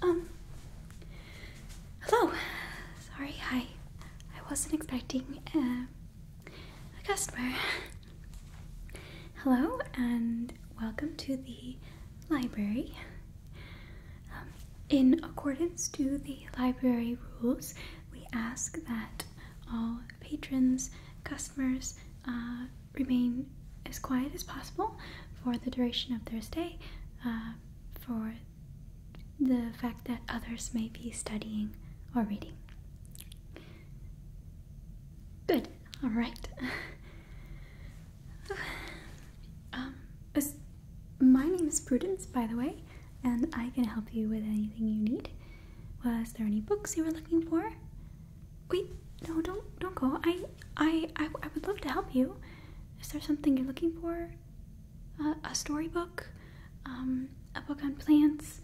Um, hello. Sorry, I, I wasn't expecting um, a customer. Hello, and welcome to the library. Um, in accordance to the library rules, we ask that all patrons, customers, uh, remain as quiet as possible for the duration of their stay uh, for the fact that others may be studying or reading. Good, alright. Um, my name is Prudence, by the way, and I can help you with anything you need. Was there any books you were looking for? Wait, no, don't don't go. I I I, would love to help you. Is there something you're looking for? a storybook, um, a book on plants,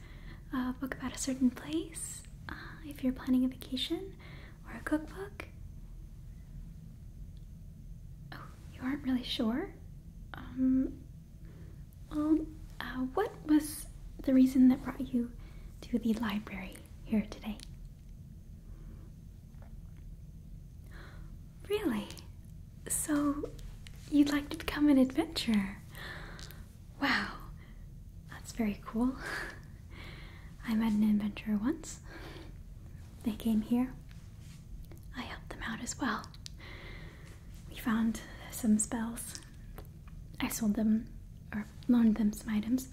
a book about a certain place. Uh, if you're planning a vacation, or a cookbook. You aren't really sure? Um, well, uh, what was the reason that brought you to the library here today? Really? So, you'd like to become an adventurer? Wow, that's very cool. I met an adventurer once they came here. I helped them out as well. We found some spells. I sold them or loaned them some items.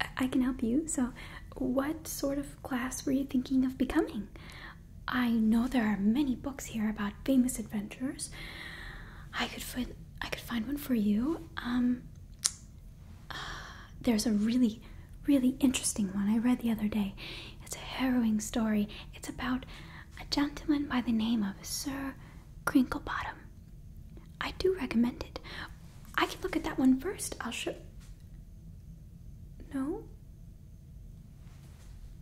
I, I can help you. So, what sort of class were you thinking of becoming? I know there are many books here about famous adventurers. I could find I could find one for you. Um, there's a really, really interesting one I read the other day. It's a harrowing story. It's about a gentleman by the name of Sir Crinklebottom. I do recommend it. I can look at that one first. I'll show. No?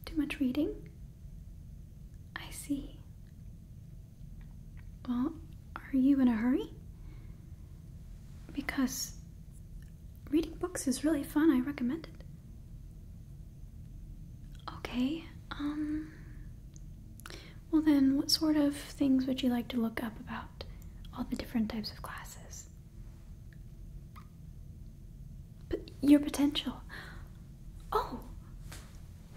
Too much reading? I see. Well, are you in a hurry? Because reading books is really fun. I recommend it. Okay, um. Well, then, what sort of things would you like to look up about all the different types of classes? But your potential. Oh!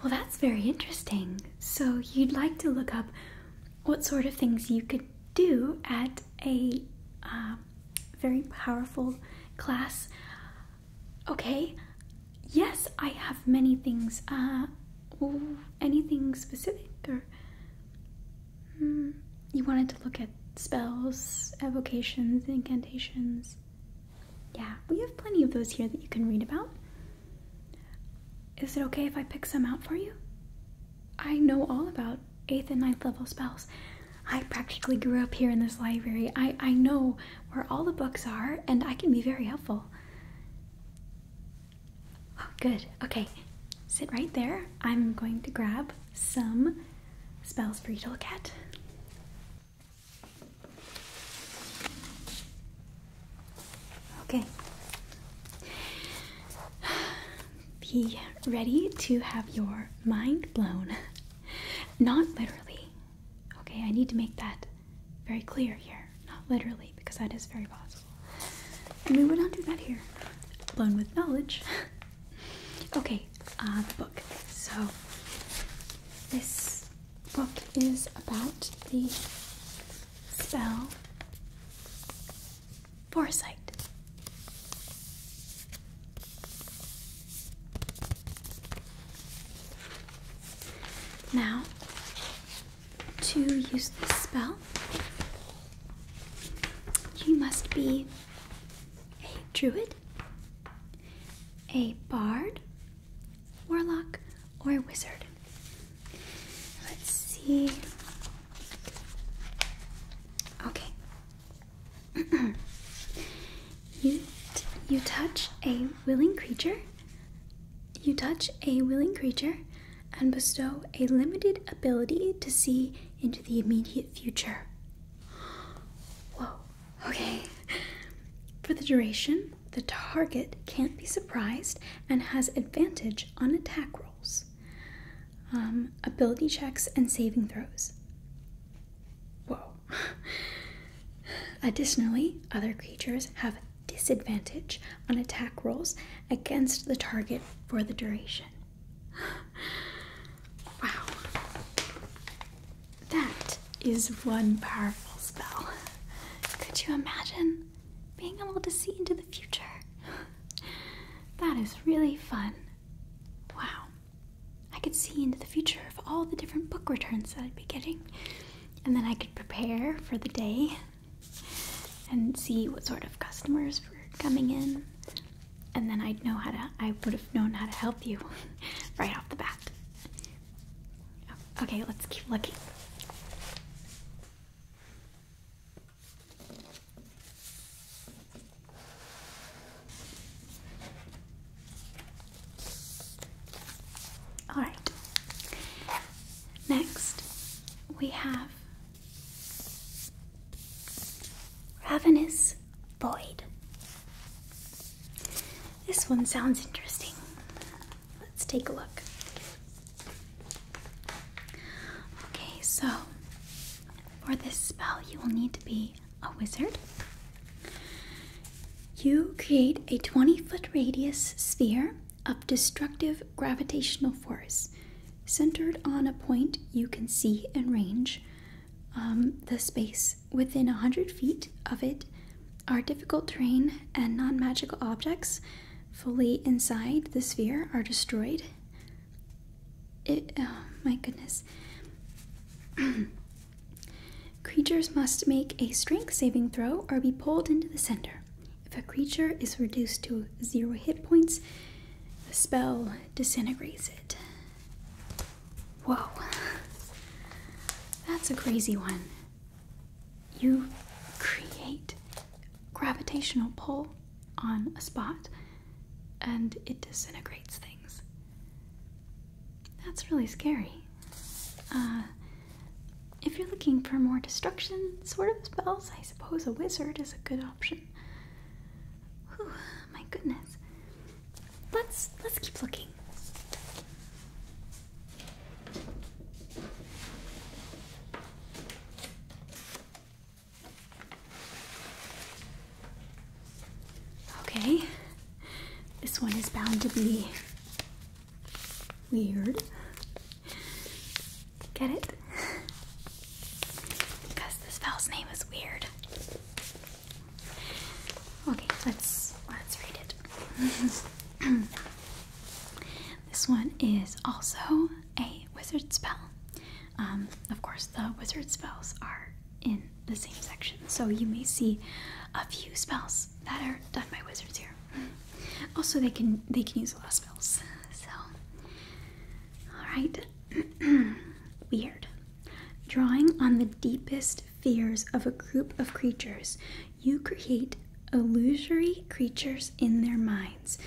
Well, that's very interesting. So, you'd like to look up what sort of things you could do at a uh, very powerful class. Okay, yes, I have many things. Uh, anything specific or hmm, you wanted to look at spells, evocations, incantations? Yeah, we have plenty of those here that you can read about. Is it okay if I pick some out for you? I know all about eighth and ninth level spells. I practically grew up here in this library. I, I know where all the books are, and I can be very helpful. Oh, good. Okay, sit right there. I'm going to grab some spells for you to look at. Okay be ready to have your mind blown. Not literally. Okay, I need to make that very clear here. Not literally, because that is very possible. And we would not do that here. Blown with knowledge. okay, uh, the book. So, this book is about the spell foresight. Now, to use this spell, you must be a druid, a bard, warlock, or wizard. Let's see Okay. you you touch a willing creature. You touch a willing creature and bestow a limited ability to see into the immediate future. Whoa. Okay. For the duration, the target can't be surprised and has advantage on attack rolls. Um, ability checks, and saving throws. Whoa. Additionally, other creatures have disadvantage on attack rolls against the target for the duration. wow. That is one powerful spell. Could you imagine being able to see into the future? that is really fun. Wow. I could see into the future of all the different book returns that I'd be getting, and then I could prepare for the day and see what sort of customers were coming in, and then I'd know how to, I would have known how to help you right off the bat. Okay, let's keep looking. All right. Next, we have Ravenous Void. This one sounds interesting. Let's take a look. Okay, so for this spell, you will need to be a wizard. You create a 20 foot radius sphere of destructive gravitational force centered on a point you can see and range. Um, the space within 100 feet of it are difficult terrain and non magical objects fully inside the sphere are destroyed. It, oh my goodness. Creatures must make a strength saving throw or be pulled into the center. If a creature is reduced to zero hit points, the spell disintegrates it. Whoa. That's a crazy one. You create gravitational pull on a spot and it disintegrates things. That's really scary. Uh, if you're looking for more destruction sort of spells, I suppose a wizard is a good option. Whew, my goodness. Let's let's keep looking. Okay, this one is bound to be weird. Get it? Because this spell's name is weird. Okay, let's let's read it. this one is also a wizard spell. Um, of course, the wizard spells are in the same section, so you may see a few spells that are done by wizards here. Mm. Also, they can they can use a lot of spells. So, all right, weird. Drawing on the deepest fears of a group of creatures, you create illusory creatures in their minds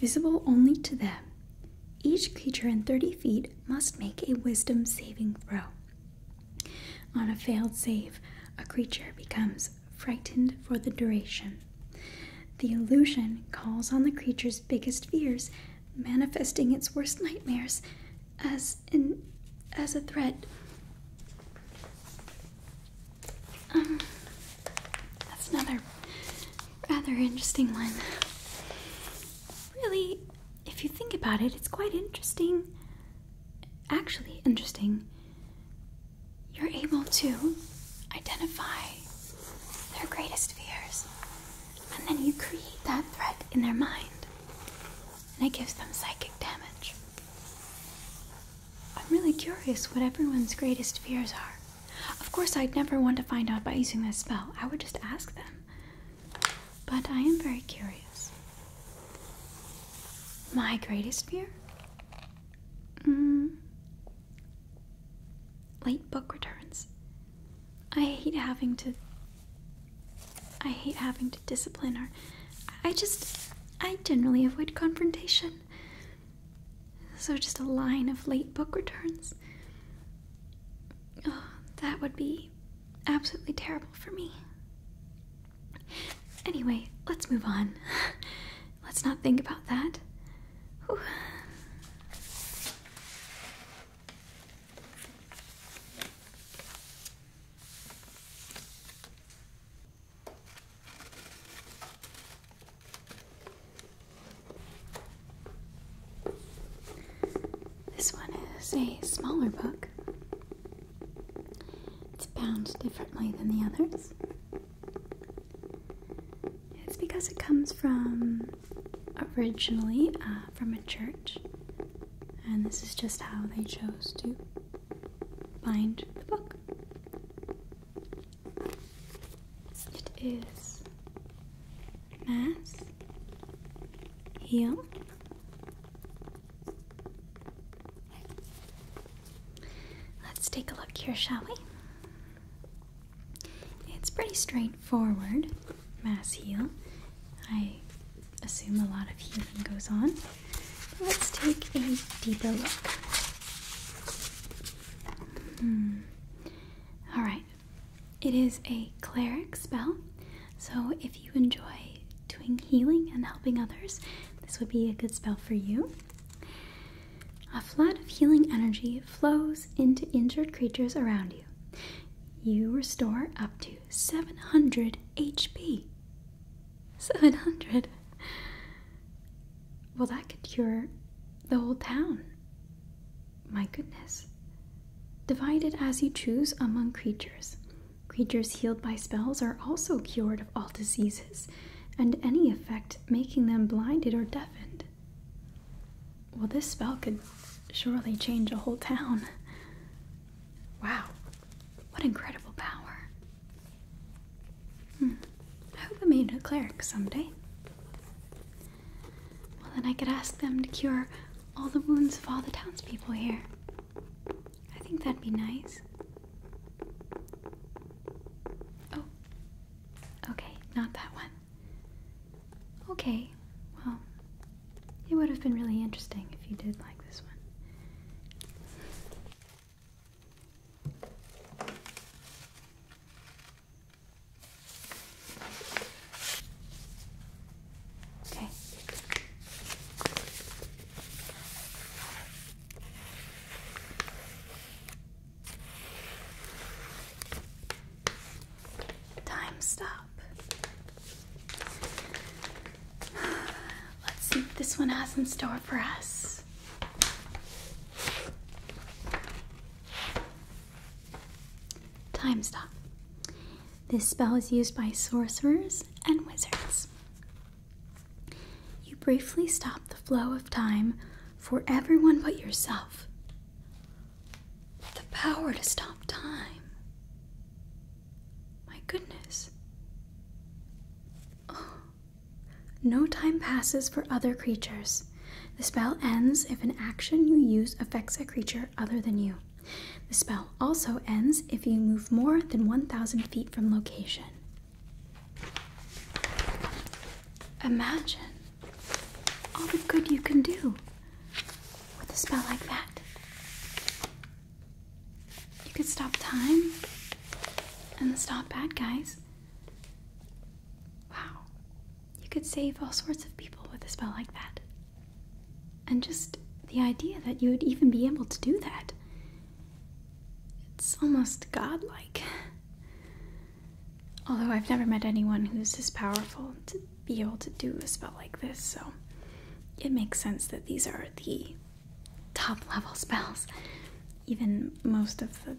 visible only to them. Each creature in 30 feet must make a wisdom saving throw. On a failed save, a creature becomes frightened for the duration. The illusion calls on the creature's biggest fears, manifesting its worst nightmares as an as a threat. Um, that's another rather interesting one. Really, if you think about it, it's quite interesting. Actually, interesting. You're able to identify their greatest fears, and then you create that threat in their mind, and it gives them psychic damage. I'm really curious what everyone's greatest fears are. Of course, I'd never want to find out by using this spell. I would just ask them. But I am very curious. My greatest fear? Hmm. Late book returns. I hate having to. I hate having to discipline her. I just. I generally avoid confrontation. So just a line of late book returns. Oh, that would be absolutely terrible for me. Anyway, let's move on. Let's not think about that. This one is a smaller book. It's bound differently than the others. It's because it comes from originally uh, from a church, and this is just how they chose to bind the book. It is mass heal. Let's take a look here, shall we? It's pretty straightforward. Mass heal. I assume a lot of healing goes on. let's take a deeper look. Hmm. Alright, it is a cleric spell, so if you enjoy doing healing and helping others, this would be a good spell for you. A flood of healing energy flows into injured creatures around you. You restore up to 700 HP. 700. Well, that could cure the whole town. My goodness. Divide it as you choose among creatures. Creatures healed by spells are also cured of all diseases and any effect making them blinded or deafened. Well, this spell could surely change a whole town. Wow, what incredible power! Hmm. I hope I made a cleric someday. Well, then I could ask them to cure all the wounds of all the townspeople here. I think that'd be nice. Oh. Okay, not that one. Okay, well, it would have been really interesting if you did like this one. Time stop. Let's see what this one has in store for us. Time Stop. This spell is used by sorcerers and wizards. You briefly stop the flow of time for everyone but yourself. The power to stop time. My goodness. Oh, no time passes for other creatures. The spell ends if an action you use affects a creature other than you. The spell also ends if you move more than 1,000 feet from location. Imagine all the good you can do with a spell like that. You could stop time and stop bad guys. Wow. You could save all sorts of people with a spell like that. And just the idea that you would even be able to do that. It's almost godlike. Although I've never met anyone who's this powerful to be able to do a spell like this, so it makes sense that these are the top level spells even most of the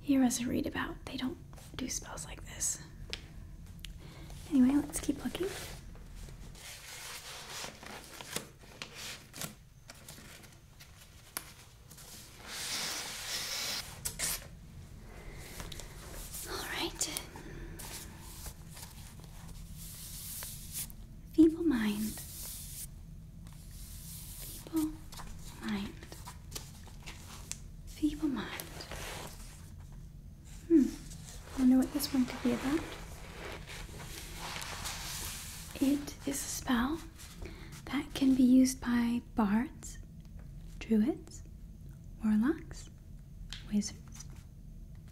heroes I read about, they don't do spells like this. Anyway, let's keep looking. All right. Feeble mind. Feeble mind. Feeble mind. Hmm. I wonder what this one could be about. It is a spell that can be used by bards, druids, warlocks, wizards,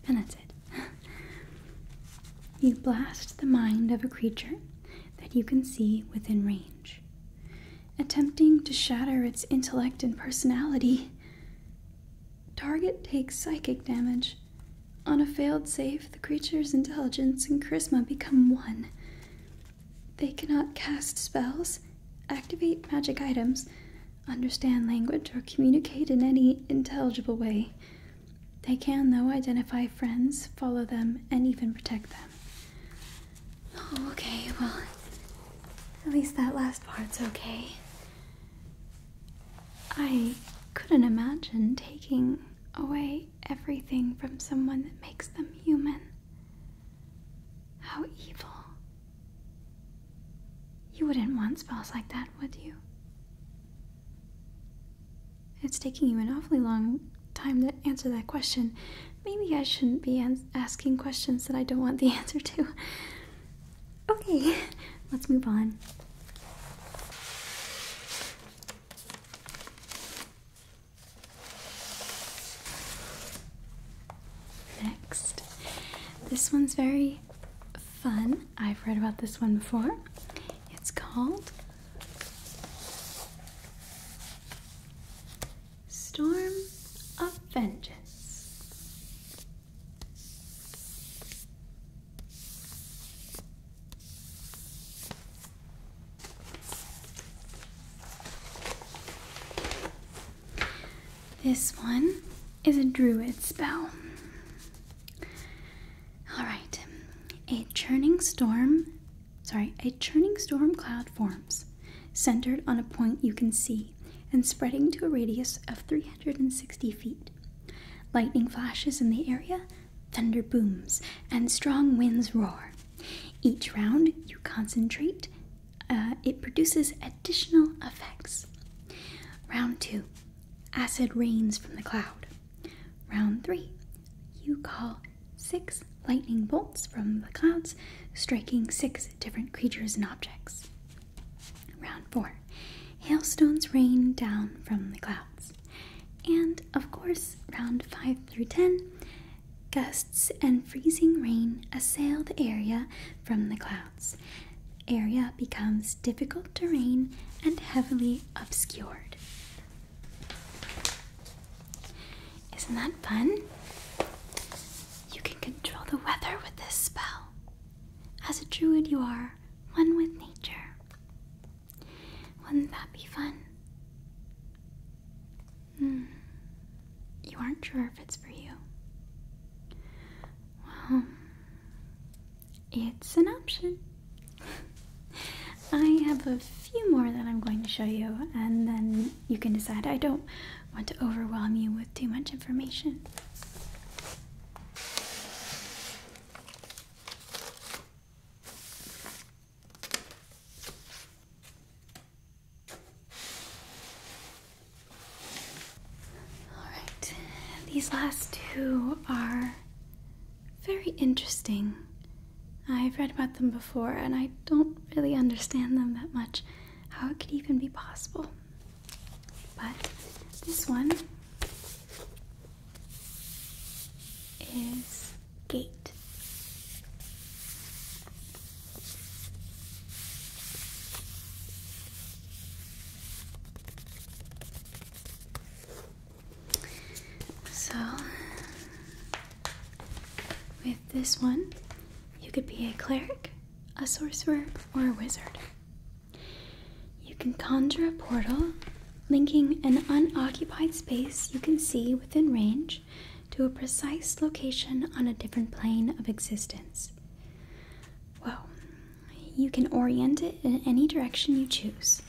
and that's it. you blast the mind of a creature that you can see within range, attempting to shatter its intellect and personality. Target takes psychic damage. On a failed save, the creature's intelligence and charisma become one. They cannot cast spells, activate magic items, understand language, or communicate in any intelligible way. They can, though, identify friends, follow them, and even protect them. Oh, okay, well, at least that last part's okay. I couldn't imagine taking away everything from someone that makes them human. How evil. You wouldn't want spells like that, would you? It's taking you an awfully long time to answer that question. Maybe I shouldn't be asking questions that I don't want the answer to. Okay, let's move on. Next, this one's very fun. I've read about this one before. It's called Storm of Vengeance. This one is a druid spell. All right. A churning storm sorry, a churning storm cloud forms, centered on a point you can see and spreading to a radius of 360 feet. Lightning flashes in the area, thunder booms, and strong winds roar. Each round you concentrate, uh, it produces additional effects. Round 2 Acid rains from the cloud. Round 3 You call six lightning bolts from the clouds, striking six different creatures and objects. Round four hailstones rain down from the clouds. And of course, round five through ten gusts and freezing rain assail the area from the clouds. area becomes difficult terrain and heavily obscured. Isn't that fun? You can control the weather with this spell. As a druid, you are one with nature. Wouldn't that be fun? Hmm. You aren't sure if it's for you. Well, it's an option. I have a few more that I'm going to show you, and then you can decide. I don't want to overwhelm you with too much information. All right, these last two are very interesting. I've read about them before and I don't really understand them that much, how it could even be possible. But this one is gate. So, with this one, you could be a cleric, a sorcerer, or a wizard. You can conjure a portal linking an unoccupied space you can see within range to a precise location on a different plane of existence. Well, you can orient it in any direction you choose.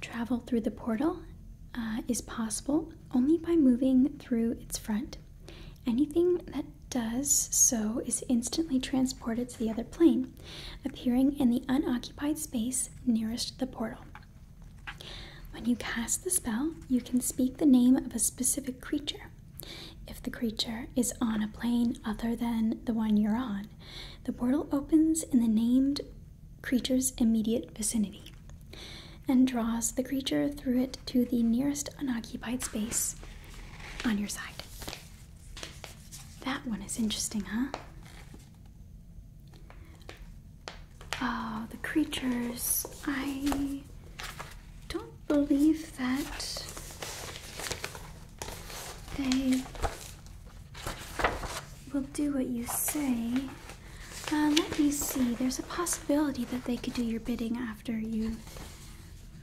Travel through the portal uh, is possible only by moving through its front. Anything that does so is instantly transported to the other plane, appearing in the unoccupied space nearest the portal. When you cast the spell, you can speak the name of a specific creature. If the creature is on a plane other than the one you're on, the portal opens in the named creature's immediate vicinity and draws the creature through it to the nearest unoccupied space on your side. That one is interesting, huh? Oh, the creatures. I don't believe that they will do what you say. Uh, let me see. There's a possibility that they could do your bidding after you.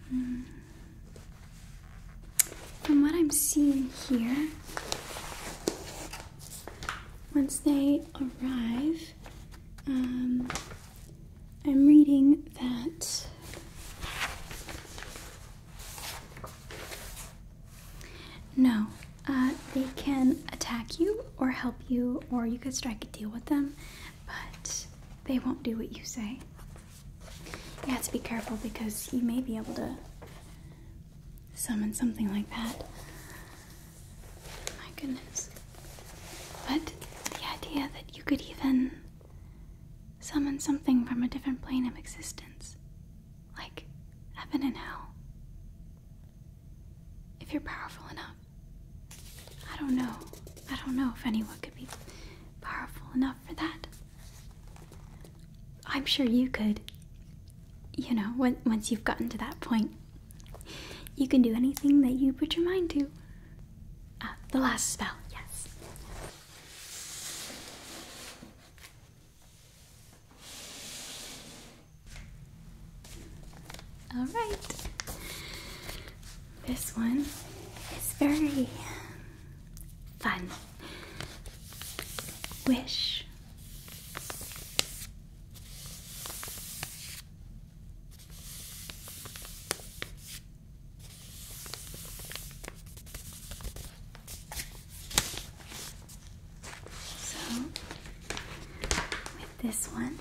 Hmm. From what I'm seeing here, once they arrive, um, I'm reading that no, uh, they can attack you or help you, or you could strike a deal with them, but they won't do what you say. You have to be careful because you may be able to summon something like that. My goodness. But the idea that you could even summon something from a different plane of existence like heaven and hell. If you're powerful enough. I don't know. I don't know if anyone could be powerful enough for that. I'm sure you could. You know, when, once you've gotten to that point, you can do anything that you put your mind to. Uh, the last spell, yes. All right. This one is very fun. Wish. So, with this one,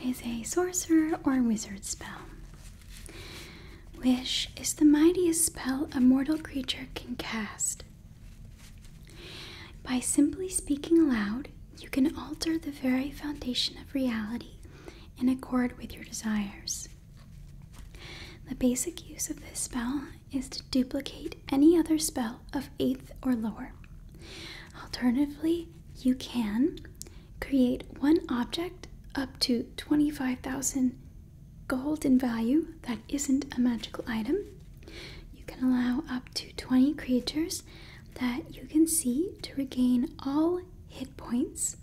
it is a sorcerer or wizard spell. Wish is the mightiest spell a mortal creature can cast. By simply speaking aloud, you can alter the very foundation of reality in accord with your desires. The basic use of this spell is to duplicate any other spell of 8th or lower. Alternatively, you can create one object up to 25,000 gold in value that isn't a magical item. You can allow up to 20 creatures that you can see to regain all hit points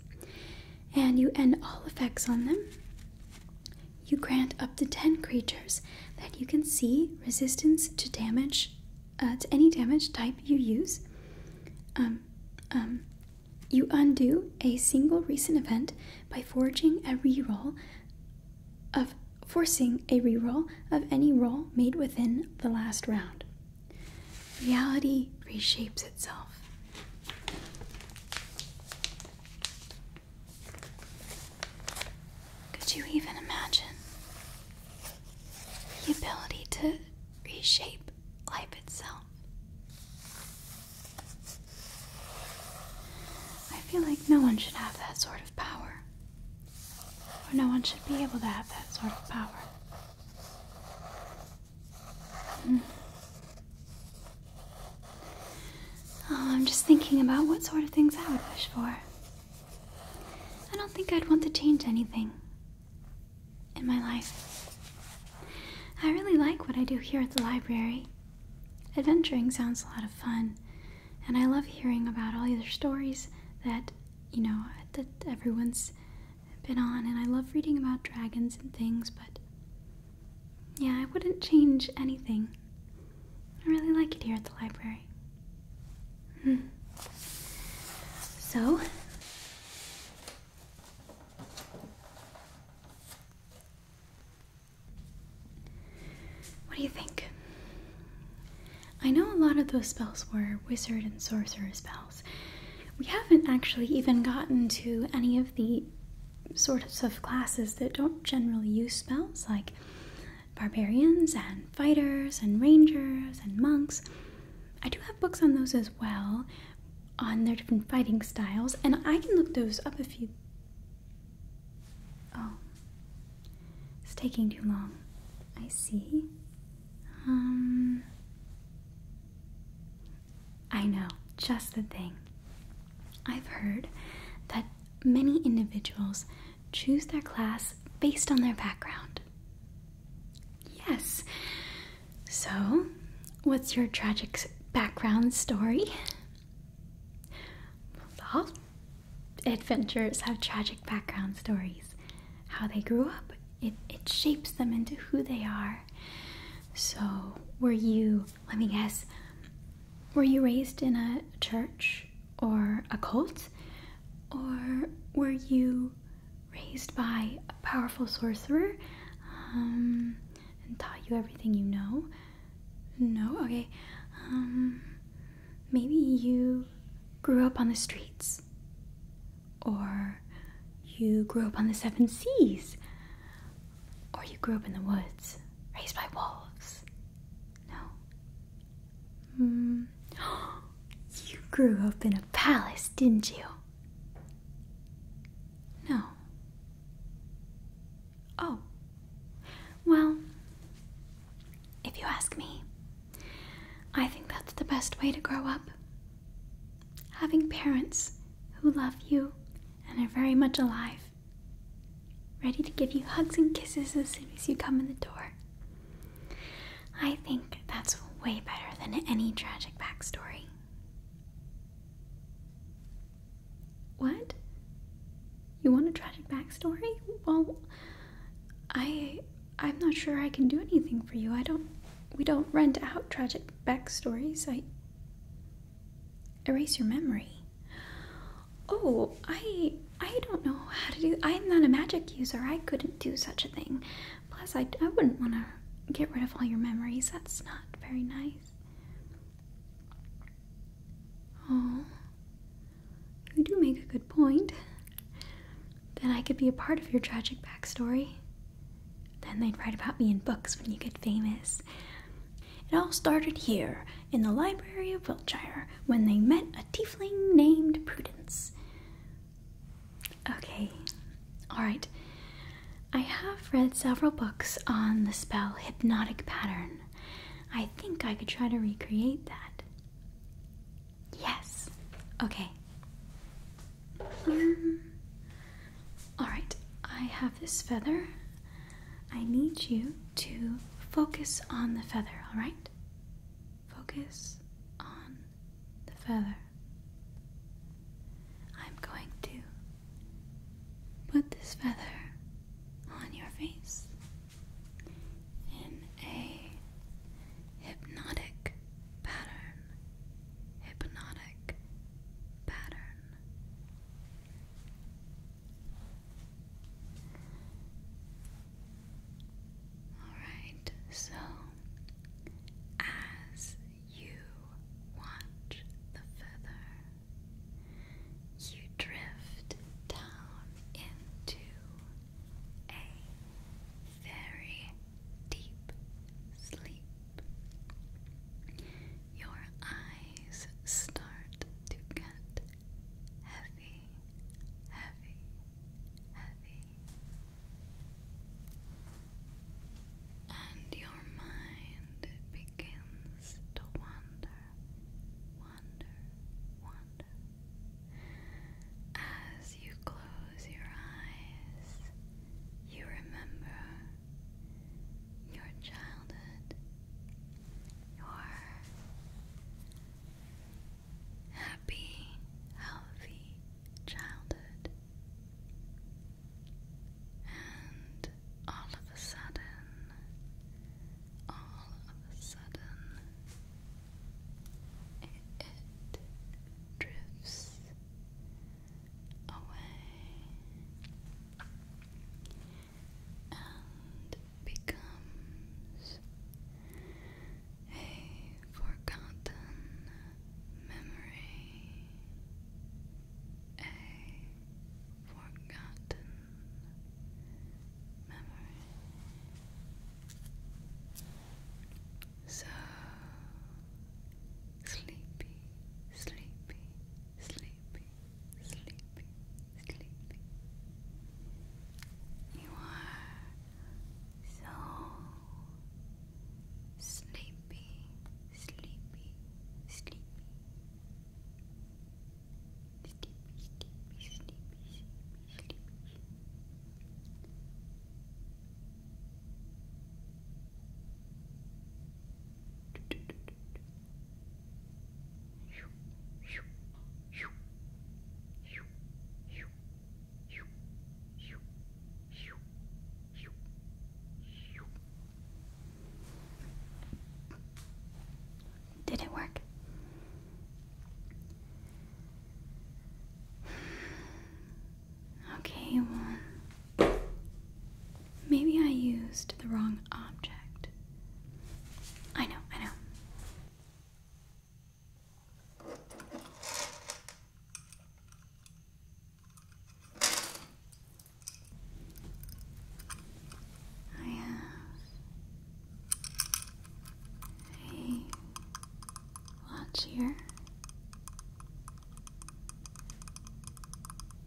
and you end all effects on them. You grant up to 10 creatures that you can see resistance to damage, uh, to any damage type you use. Um, um, you undo a single recent event by forging a reroll of forcing a reroll of any roll made within the last round. Reality reshapes itself. Could you even imagine the ability to reshape life itself? I feel like no one should have that sort of power, or no one should be able to have that sort of power. Hmm. Oh, I'm just thinking about what sort of things I would wish for. I don't think I'd want to change anything in my life. I really like what I do here at the library. Adventuring sounds a lot of fun, and I love hearing about all your stories that, you know, that everyone's been on, and I love reading about dragons and things, but yeah, I wouldn't change anything. I really like it here at the library. Hmm. So, what do you think? I know a lot of those spells were wizard and sorcerer spells. We haven't actually even gotten to any of the sorts of classes that don't generally use spells, like barbarians and fighters and rangers and monks. I do have books on those as well, on their different fighting styles, and I can look those up if you. Oh, it's taking too long. I see. Um. I know, just the thing. I've heard that many individuals choose their class based on their background. Yes. So, what's your tragic background story? Well, adventurers have tragic background stories. How they grew up, it, it shapes them into who they are. So, were you let me guess. Were you raised in a church or a cult? Or were you raised by a powerful sorcerer um, and taught you everything you know? No? Okay. Um, maybe you grew up on the streets. Or you grew up on the seven seas. Or you grew up in the woods, raised by wolves. No. Hmm. You grew up in a palace, didn't you? No. Oh. Well, if you ask me, I think that's the best way to grow up. Having parents who love you and are very much alive ready to give you hugs and kisses as soon as you come in the door. I think that's way better than any tragic backstory. What? You want a tragic backstory? Well, I I'm not sure I can do anything for you. I don't we don't rent out tragic backstories. I erase your memory oh i i don't know how to do i'm not a magic user i couldn't do such a thing plus i, I wouldn't want to get rid of all your memories that's not very nice oh you do make a good point then i could be a part of your tragic backstory then they'd write about me in books when you get famous it all started here, in the library of Wiltshire, when they met a tiefling named Prudence. Okay, alright. I have read several books on the spell Hypnotic Pattern. I think I could try to recreate that. Yes. Okay. Um, alright, I have this feather I need you to focus on the feather, alright? Focus on the feather. I'm going to put this feather on your face in a hypnotic pattern. Hypnotic pattern. Alright, so as you watch the feather, you drift down into a very deep sleep. Your eyes start to get heavy, heavy, heavy. And your mind begins to wander, wander, wander. As you close your eyes, you remember your childhood, your happy, healthy childhood, and all of a sudden, all of a sudden, it, drifts away and becomes a forgotten memory. A forgotten memory. So sleepy, sleepy, sleepy sleepy, sleepy, sleepy. You are so sleepy, sleepy, sleepy. Sleepy, sleepy, sleepy, sleepy, sleepy. Sleepy, sleepy, sleepy, sleepy, sleepy, did it work? Okay, one, Maybe I used the wrong object. I know, I know. I have a watch here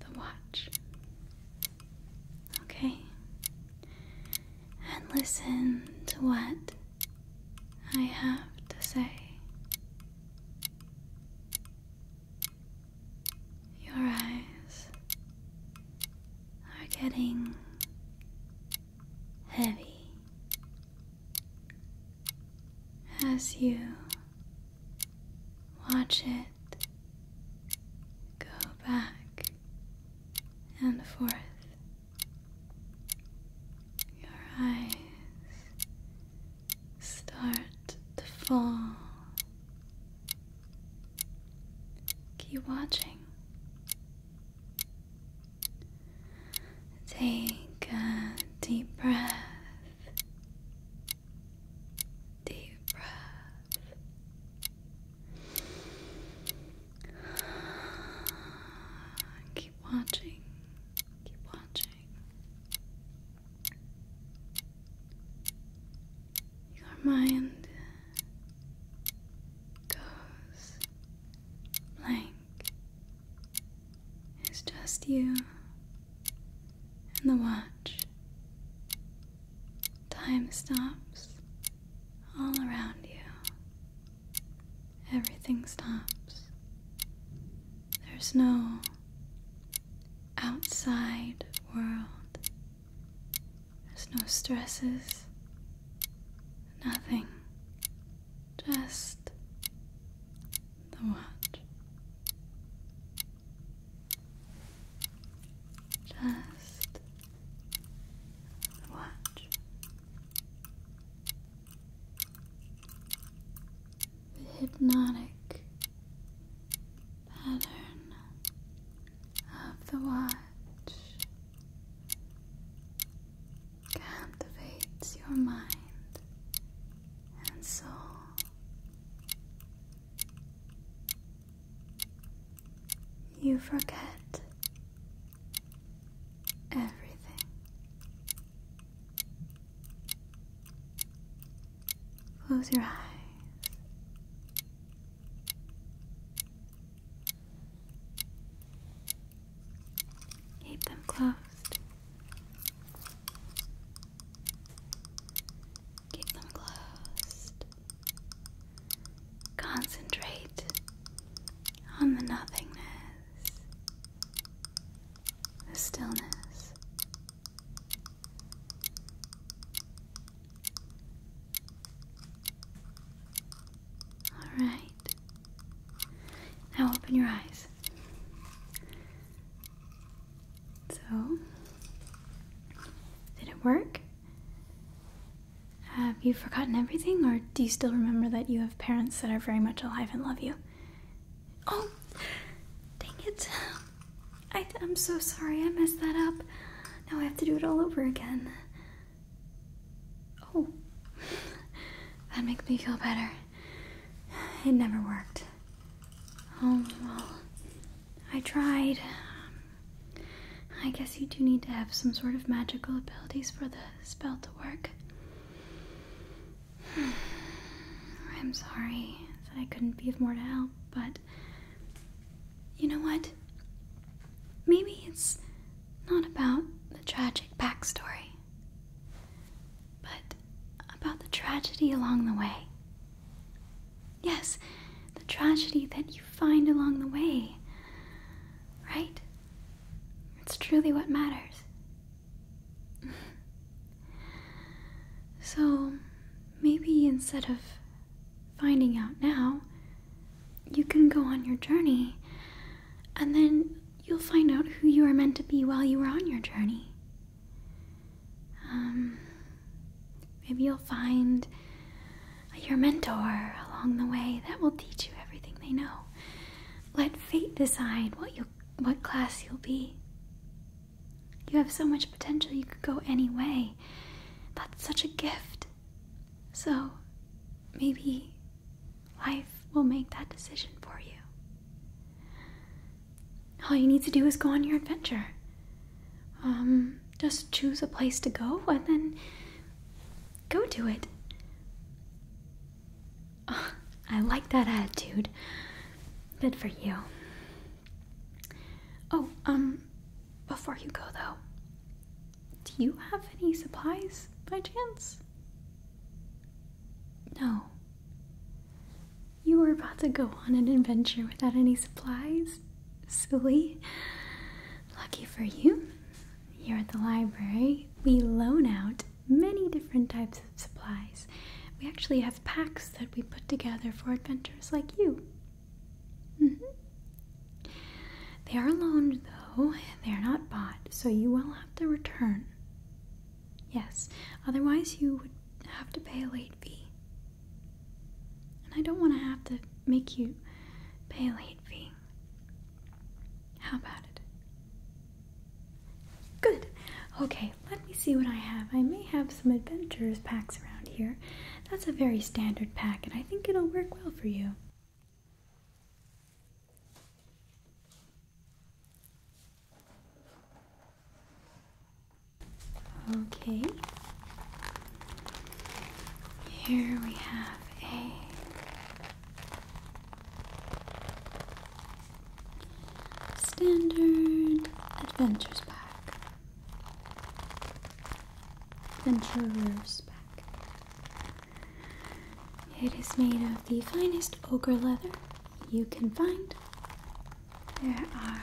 the watch. Okay? And listen to what I have to say. Your eyes are getting heavy as you Watch it go back and forth. Your eyes start to fall. Keep watching. Take a deep breath Deep breath. Keep watching. Keep watching. Your mind goes blank. It's just you and the watch. Time stops all around you. Everything stops. There's no outside world, there's no stresses, nothing. Just the watch. Just watch the hypnotic pattern of the watch captivates your mind and soul you forget everything. Close your eyes. Keep them closed. Keep them closed. Concentrate on the nothingness, the stillness. All right. Now open your eyes. So, did it work? Have you forgotten everything, or do you still remember that you have parents that are very much alive and love you? Oh, dang it. I, am so sorry, I messed that up. Now I have to do it all over again. Oh, that makes me feel better. It never worked. Oh, well, I tried. I guess you do need to have some sort of magical abilities for the spell to work. I'm sorry that I couldn't be of more to help, but you know what? Maybe it's not about the tragic backstory, but about the tragedy along the way. Yes, the tragedy that you find along the way. Right? It's truly what matters. so, maybe instead of finding out now, you can go on your journey and then you'll find out who you are meant to be while you are on your journey. Um, maybe you'll find your mentor along the way that will teach you everything they know. Let fate decide what you what class you'll be. You have so much potential you could go any way. That's such a gift. So maybe life will make that decision for you. All you need to do is go on your adventure. Um, just choose a place to go and then go do it. I like that attitude. Good for you. Oh, um, before you go though, do you have any supplies by chance? No. You were about to go on an adventure without any supplies? Silly. Lucky for you, here at the library, we loan out many different types of supplies. We actually have packs that we put together for adventurers like you. Mm-hmm. They are loaned, though, they are not bought, so you will have to return. Yes, otherwise, you would have to pay a late fee. And I don't want to have to make you pay a late fee. How about it? Good. Okay, let me see what I have. I may have some adventurers packs around here. That's a very standard pack, and I think it'll work well for you. Okay. Here we have a standard adventures pack. Adventurer's pack. It is made of the finest ogre leather you can find. There are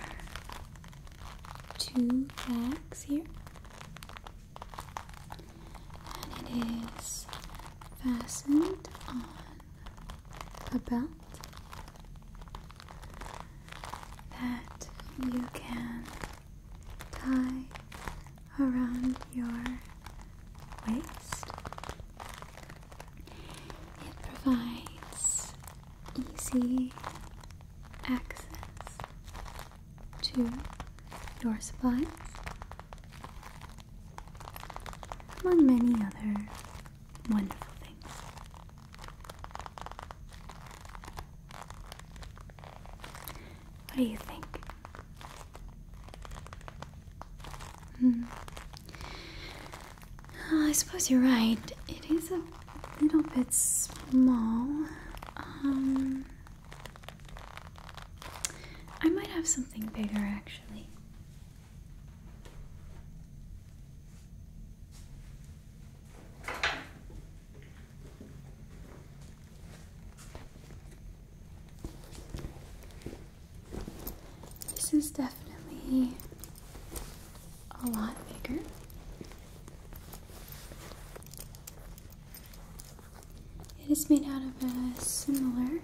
two bags here. And it is fastened on a belt that you can tie around your waist it provides easy access to your supplies, among many other wonderful things. What do you think? Hmm. Oh, I suppose you're right. It is a little bit small. Um, I might have something bigger actually. This is definitely a lot bigger. It is made out of a similar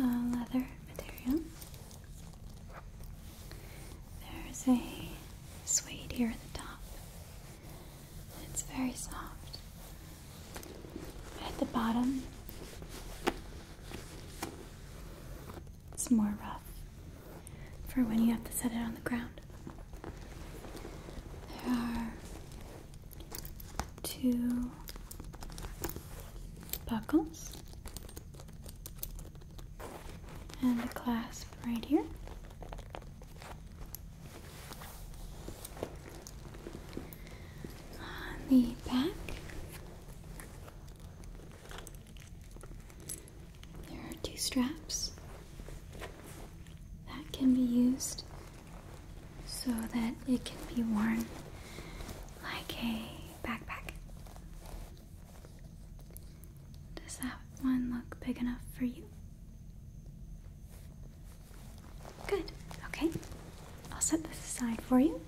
um, leather material. There's a suede here at the top. It's very soft. At the bottom, it's more rough for when you have to set it on the ground. There are two buckles and the clasp right here on the back. There are two straps that can be used so that it can be worn like a backpack. Does that one look big enough for you? Good. Okay. I'll set this aside for you.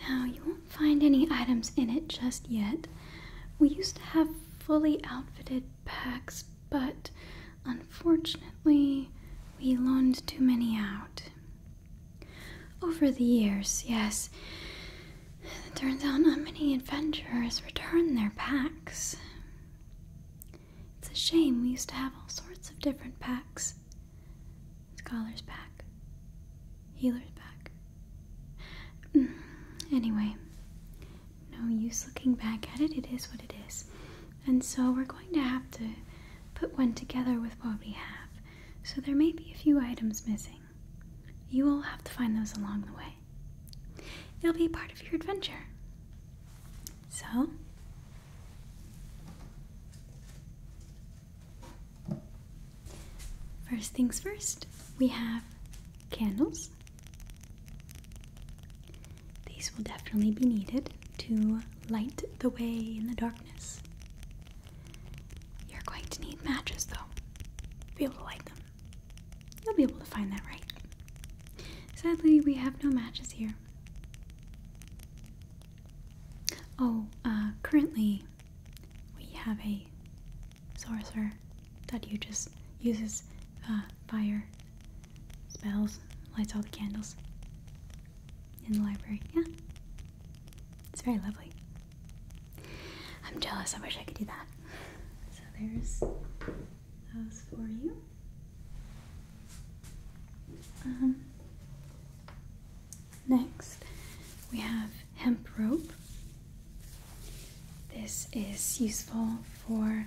Now, you won't find any items in it just yet. We used to have fully outfitted packs, but unfortunately, we loaned too many out. Over the years, yes, it turns out not many adventurers return their packs. It's a shame we used to have all sorts of different packs. Scholar's pack, healer's pack. Mm, anyway, no use looking back at it, it is what it is. And so we're going to have to put one together with what we have, so there may be a few items missing. You will have to find those along the way. It'll be part of your adventure. So First things first, we have candles. These will definitely be needed to light the way in the darkness. You're going to need matches though, to be able to light them. You'll be able to find that right. Sadly, we have no matches here. Oh, uh, currently we have a sorcerer that you just uses uh, fire spells, lights all the candles in the library. Yeah, it's very lovely. I'm jealous. I wish I could do that. So there's those for you. Um, next, we have hemp rope. This is useful for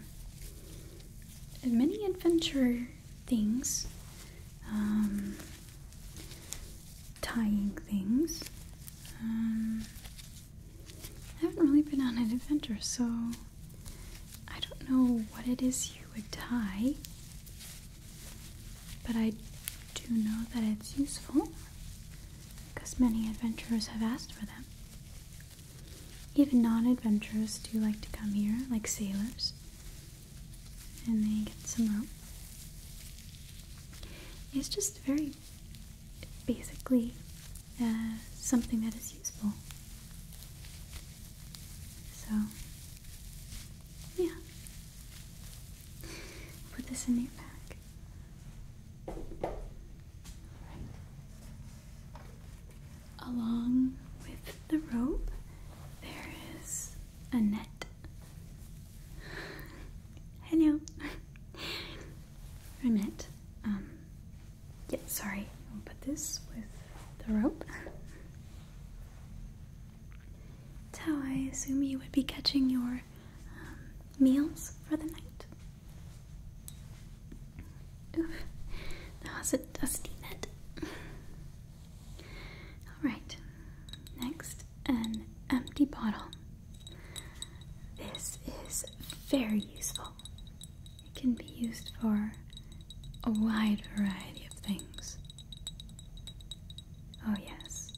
many adventure things, um, tying things. Um, I haven't really been on an adventure, so I don't know what it is you would dye, but I do know that it's useful because many adventurers have asked for them. Even non adventurers do like to come here, like sailors, and they get some rope. It's just very basically uh, something that is useful. So, yeah. Put this in your bag. Along with the rope, there is a net. Hello. I meant, um, yeah, sorry. I'll put this with the rope. That's how I assume you would be catching your um, meals for the night. Oof, that was a dusty net. Alright, next, an empty bottle. This is very useful. It can be used for a wide variety of things. Oh, yes.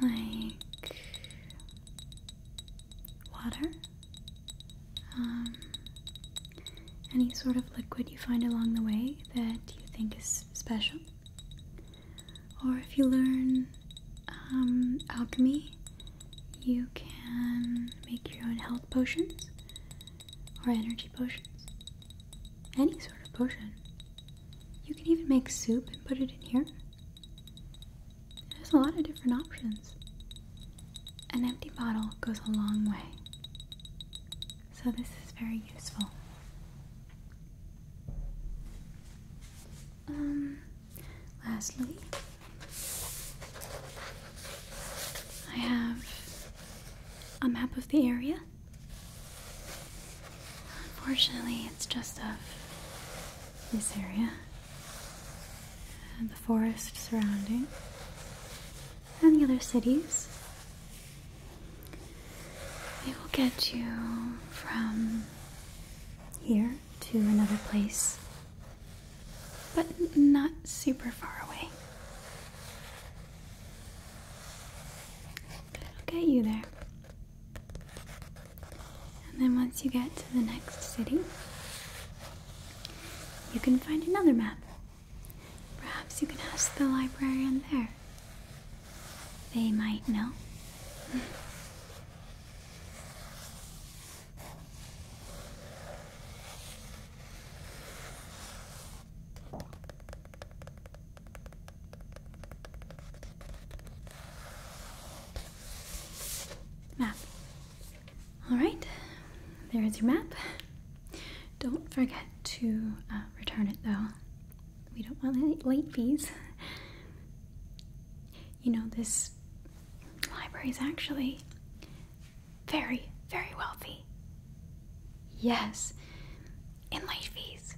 Like water, um, any sort of liquid you find along the way that you think is special, or if you learn um, alchemy you can make your own health potions or energy potions. Any sort of potion. You can even make soup and put it in here. There's a lot of different options. An empty bottle goes a long way. So, this is very useful. Um, lastly, I have a map of the area. Unfortunately, it's just of this area and the forest surrounding and the other cities. We will get you from here to another place but not super far away. I'll get you there. And then once you get to the next city, you can find another map. Perhaps you can ask the librarian there. They might know. Map. All right, there is your map. Don't forget to uh, return it though. We don't want any late fees. You know, this library is actually very, very wealthy. Yes, in late fees.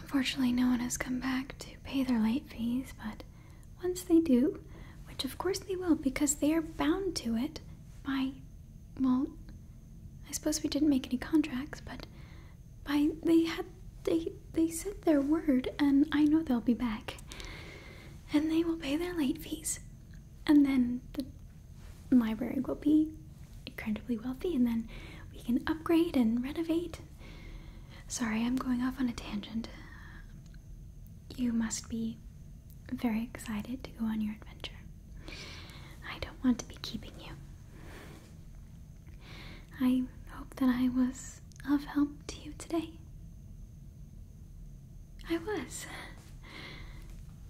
Unfortunately, no one has come back to pay their late fees, but once they do, which of course they will because they are bound to it by, well, I suppose we didn't make any contracts, but by they had they they said their word, and I know they'll be back and they will pay their late fees. And then the library will be incredibly wealthy, and then we can upgrade and renovate. Sorry, I'm going off on a tangent. You must be very excited to go on your adventure. I don't want to be keeping you. I hope that I was of help to you today? I was.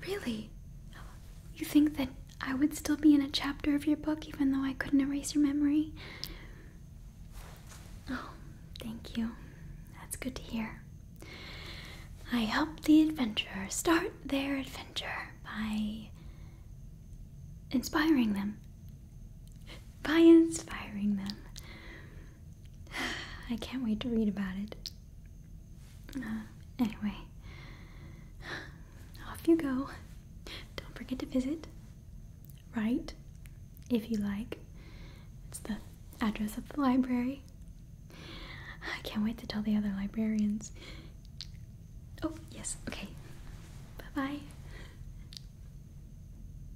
Really? You think that I would still be in a chapter of your book even though I couldn't erase your memory? Oh, thank you. That's good to hear. I helped the adventurers start their adventure by inspiring them. By inspiring them. I can't wait to read about it. Uh, anyway, off you go. Don't forget to visit. Right, if you like. It's the address of the library. I can't wait to tell the other librarians. Oh, yes, okay. Bye bye.